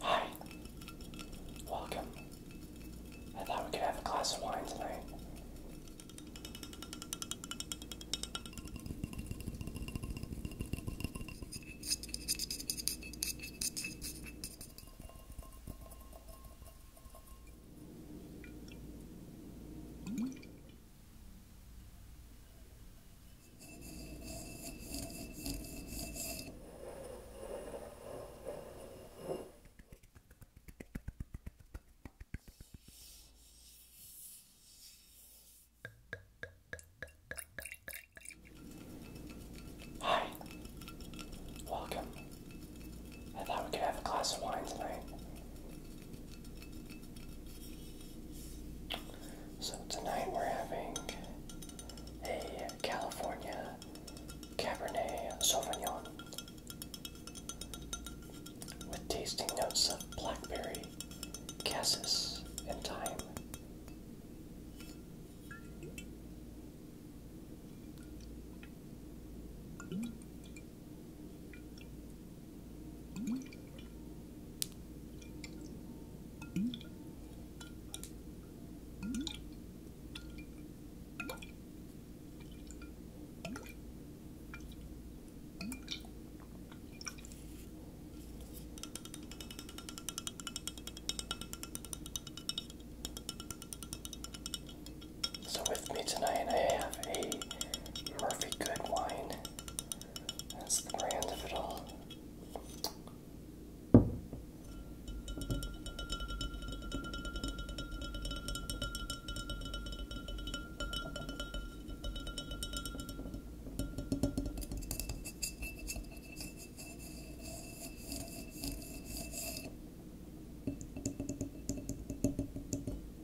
Hi. Welcome. I thought we could have a glass of wine tonight. Hi, welcome. I thought we could have a glass of wine tonight. So tonight we're having a California Cabernet Sauvignon with tasting notes of blackberry, cassis, and thyme. So, with me tonight, I have a Murphy Good wine that's the brand of it all.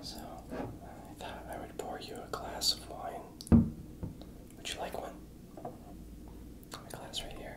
So, I thought I would pour you a glass of wine. Would you like one? glass right here.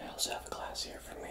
I also have a glass here for me.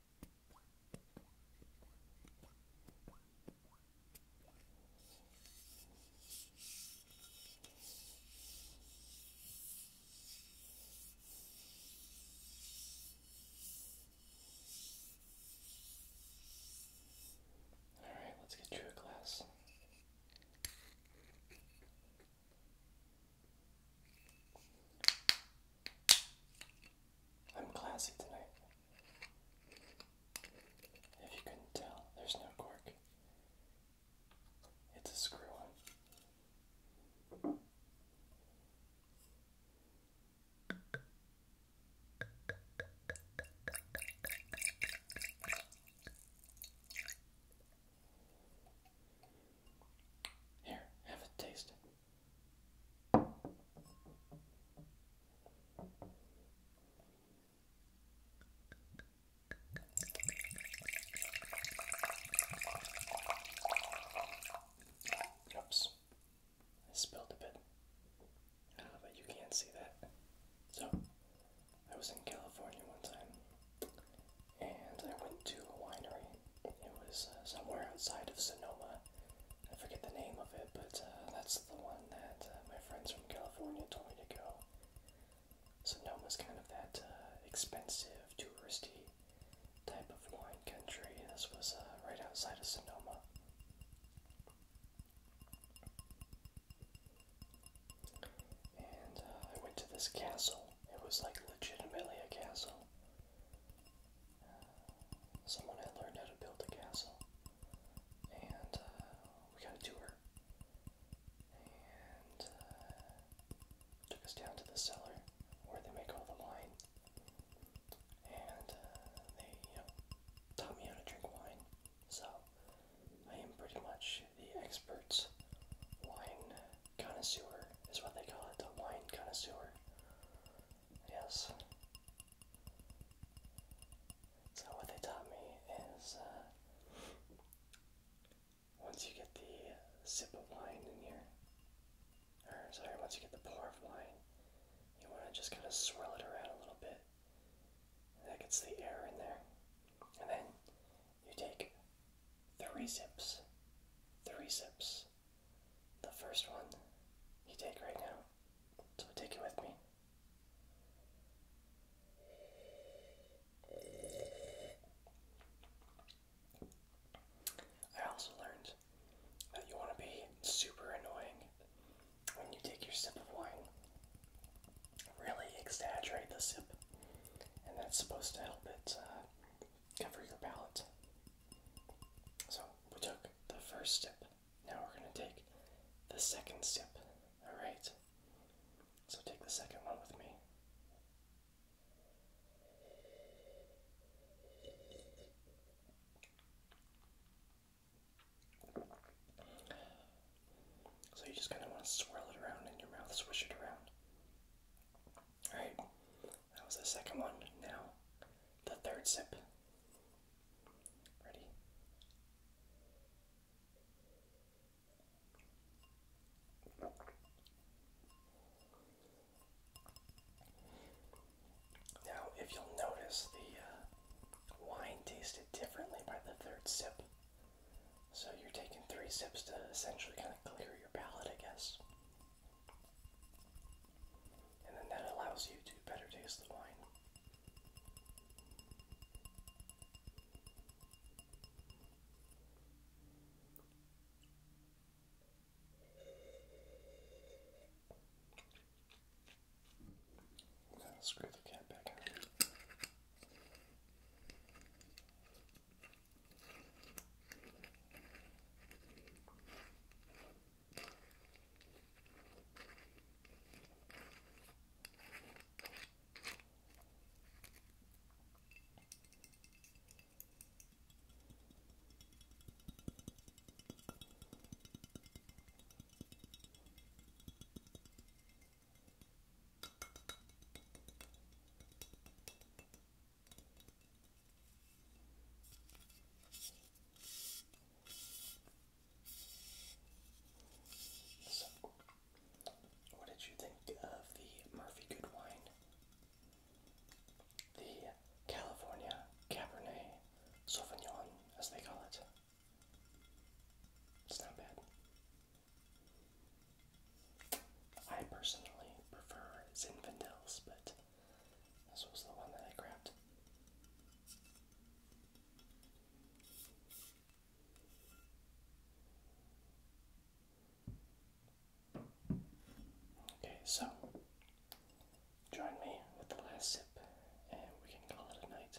All right, let's get you a glass. I'm classy tonight. If you couldn't tell, there's no cork. It's a screw on. Here, have a taste. Oops, I spilled a bit. I ah, you can't see that. So, I was in California one time and I went to a winery. It was uh, somewhere outside of Sonoma. I forget the name of it, but uh, that's the one that uh, my friends from California told me to go. Sonoma Sonoma's kind of that expensive, touristy type of wine country. This was right outside of Sonoma. And I went to this castle. It was like legitimately a castle. Someone had learned how to build a castle, and uh, we got a tour. And uh, took us down to the cellar where they make all the wine. And uh, they, taught me how to drink wine. So I am pretty much the experts, wine connoisseur, is what they call it, the wine connoisseur. Yes. So what they taught me is uh, once you get the sip of wine in here, or sorry, once you get the pour of wine, you want to just kind of swirl it around a little bit. And that gets the air in there. And then you take three sips, three sips. The first one you take right now, so take it with me. I also learned that you want to be super annoying when you take your sip of wine really exaggerate the sip, and that's supposed to help it uh, cover your palate. So we took the first sip. Now we're going to take the second sip. All right. So take the second one with me. So you just kind of want to swirl it around in your mouth, swish it around. Alright, that was the second one. Now, the third sip. Ready? Now, if you'll notice, the uh, wine tasted differently by the third sip. So you're taking three sips to essentially kind of clear your palate, I guess. And then that allows you to better taste the wine. That'll screw the cat back on. All what did you think of the Murphy Good wine? The California Cabernet Sauvignon, as they call it. It's not bad. I personally prefer Zinfandels, but this was the one that I grabbed. Okay, so join me with the last sip and we can call it a night.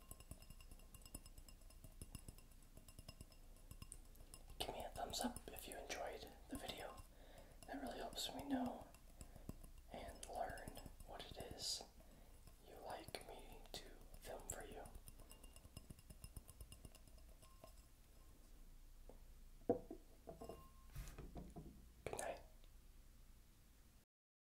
Give me a thumbs up if you enjoyed the video. That really helps me know and learn what it is you like me to film for you. Good night.